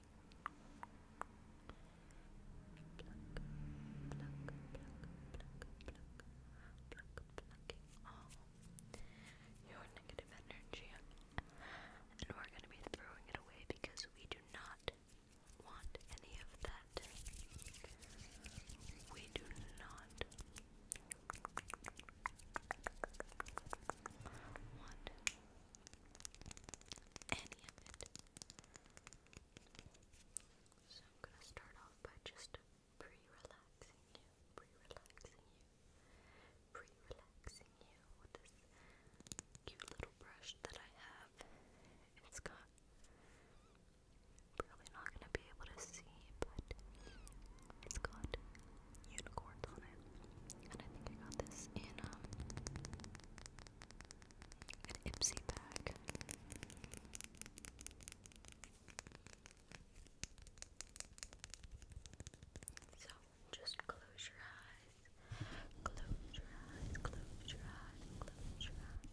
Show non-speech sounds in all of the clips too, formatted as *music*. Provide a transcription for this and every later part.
plucking all your negative energy. And we're going to be throwing it away because we do not want any of that. We do not want any of it. So I'm gonna start off by just pre-relaxing you, pre-relaxing you, pre-relaxing you with this cute little brush that I have. It's got probably not gonna be able to see, but it's got unicorns on it. And I think I got this in um an Ipsy bag. So just close your eyes. Close your eyes. Close your eyes. Close your eyes.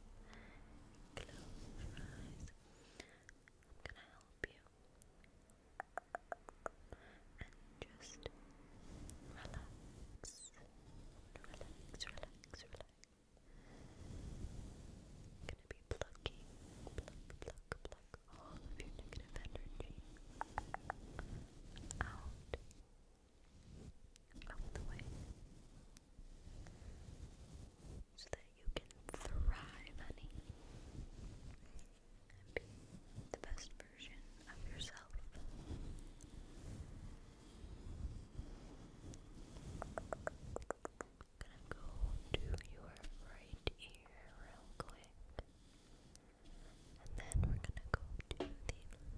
Close i help you. And just relax relax, relax, relax. gonna be plucking, pluck, pluck, pluck all of your negative energy out of the way so that you can thrive, honey, and be the best version of gonna go to your right ear real quick. And then we're gonna go to the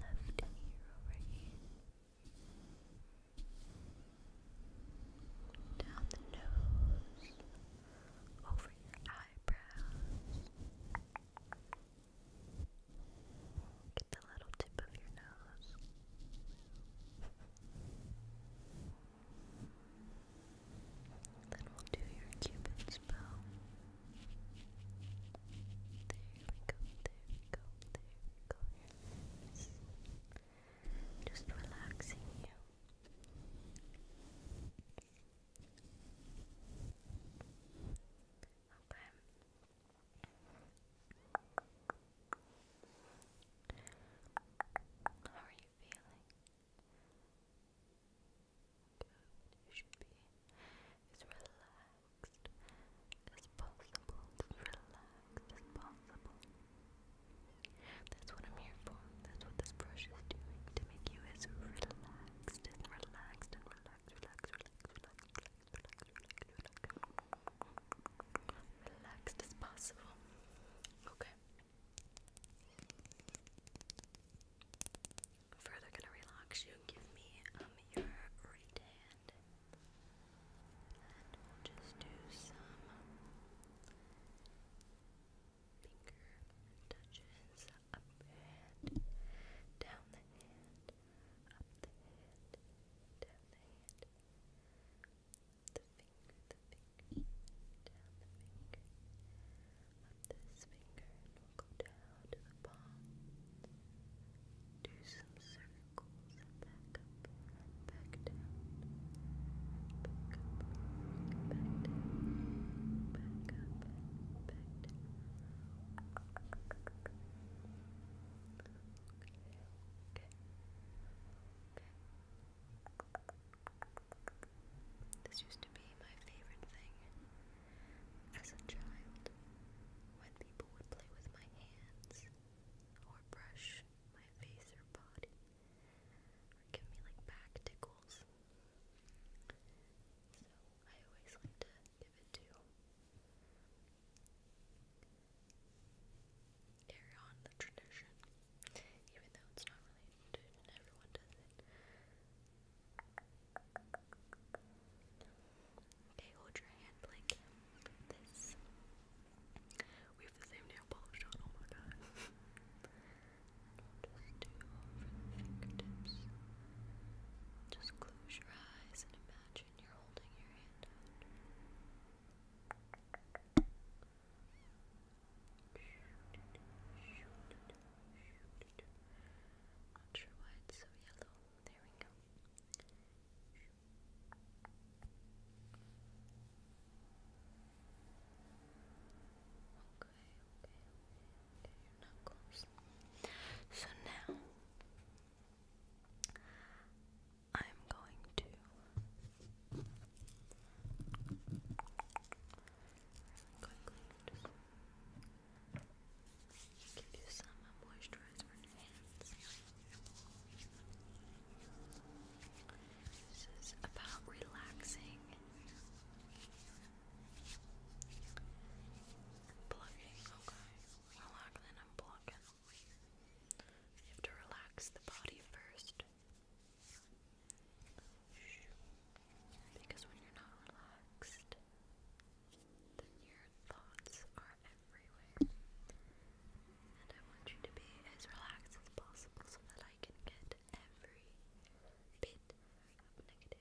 left ear over here. Down the nose, over your eyebrows, Get the little tip of your nose. Then we'll do your Cupid's bow. There we go, there we go, there we go. Just relaxing you. Okay. How are you feeling? Good. You should be as relaxed as possible. As relaxed as possible. That's what I'm here for. That's what this brush is doing to make you as relaxed and relaxed and relaxed, relaxed, relaxed, relaxed, relaxed, relax, relaxed as possible. Okay. Further gonna relax you. Give me um your right hand, just do some finger touches up and down the hand up the hand, down the hand, the finger, the finger, down the finger, up this finger, and we'll go down to the palm. Do some circles back up, back down, back up, back down, back up, back down okay. This used to be my favorite thing as a child when people would play with my hands or brush my face or body or give me like back tickles. So I always like to give it Carry on the tradition, even though it's not related to everyone does it. Okay, hold your hand like this. We have the same nail polish on, oh my god. *laughs* just do over the fingertips. Just close your eyes and imagine imagine you're holding your hand out. Not sure why it's so yellow. There we go. Okay, okay, okay, okay, your knuckles. So now I'm going to quickly just give you some moisturizer This is about relaxing and okay? You have to relax the body first. Because when you're not relaxed, then your thoughts are everywhere. And I want you to be as relaxed as possible so that I can get every bit of negative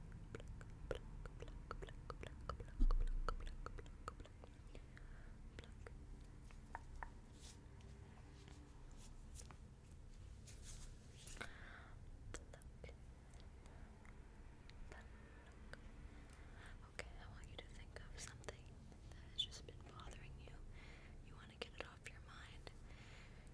Okay, I want you to think of something that has just been bothering you. You want to get it off your mind.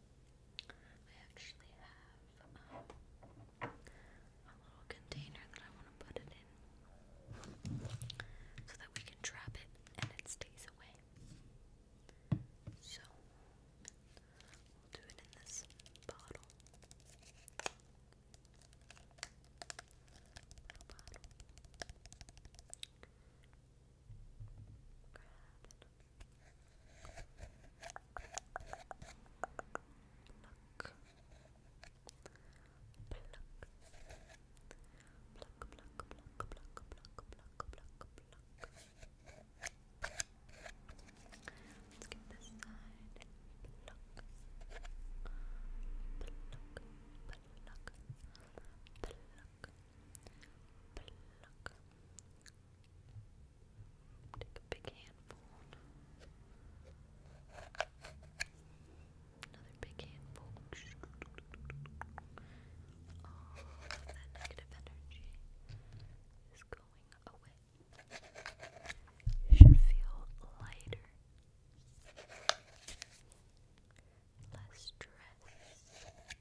I actually have um, a little container that I want to put it in so that we can trap it and it stays away. So we'll do it in this bottle. Let's get this side. Pluck. Pluck. Pluck. Pluck. Pluck. Take a big handful. Another big handful. All oh, of that negative energy is going away. You should feel lighter. Less stress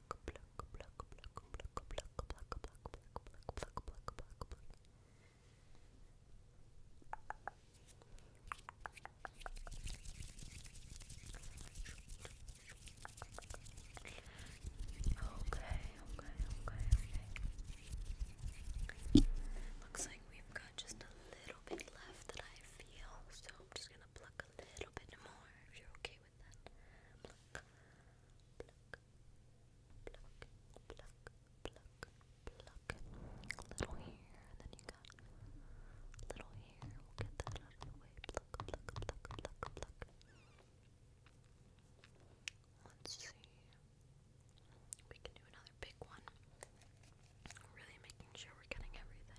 Okay, okay, okay, okay. Looks like we've got just a little bit left that I feel, so I'm just gonna plug a little bit more if you're okay happy little here, and then you got little here. We'll get that out of the way. Pluck, pluck, pluck, pluck, pluck. Let's see. We can do another big one. Really making sure we're getting everything.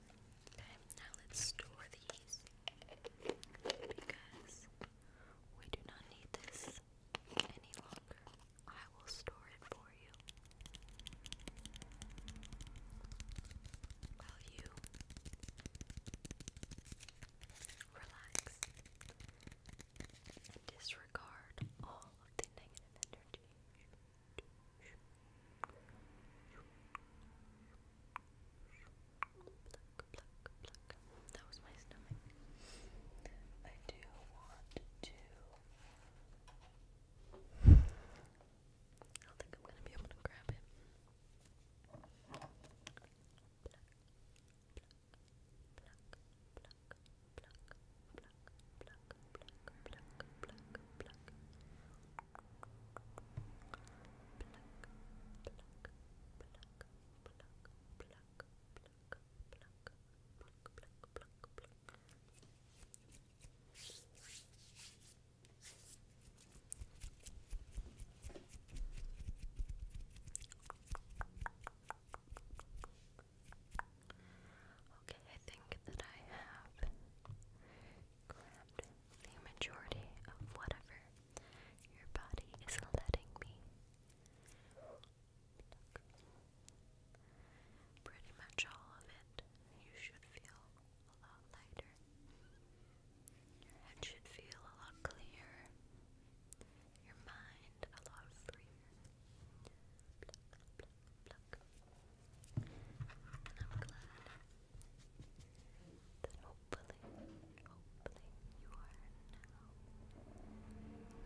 Okay, now let's store these because we do not need this any longer. I will store it for you. While you relax and disregard all of the negative energy. Pluck, pluck, pluck. That was my stomach. I do want to. I don't think I'm gonna be able to grab it. Okay, I think that I have grabbed the majority of whatever your body is letting me. Pretty much all of it, you should feel a lot lighter. Your head should feel a lot clearer. Your mind a lot freer. I'm glad that hopefully, hopefully you are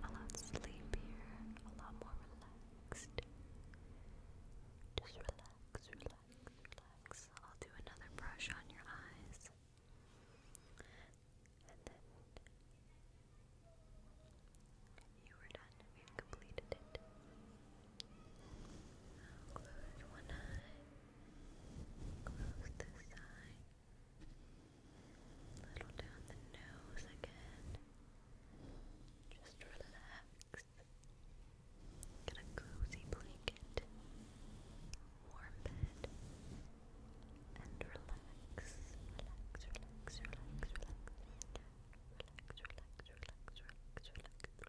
now a lot sleepier, a lot more relaxed. Just relax, relax, relax. I'll do another brush on your eyes. And then you were done. We've completed it. I'll close one eye, close this eye, little down the nose again. Just relax. Get a cozy blanket, warm bed, and relax. Relax, relax, relax, relax. Relax, relax, relax, relax, relax.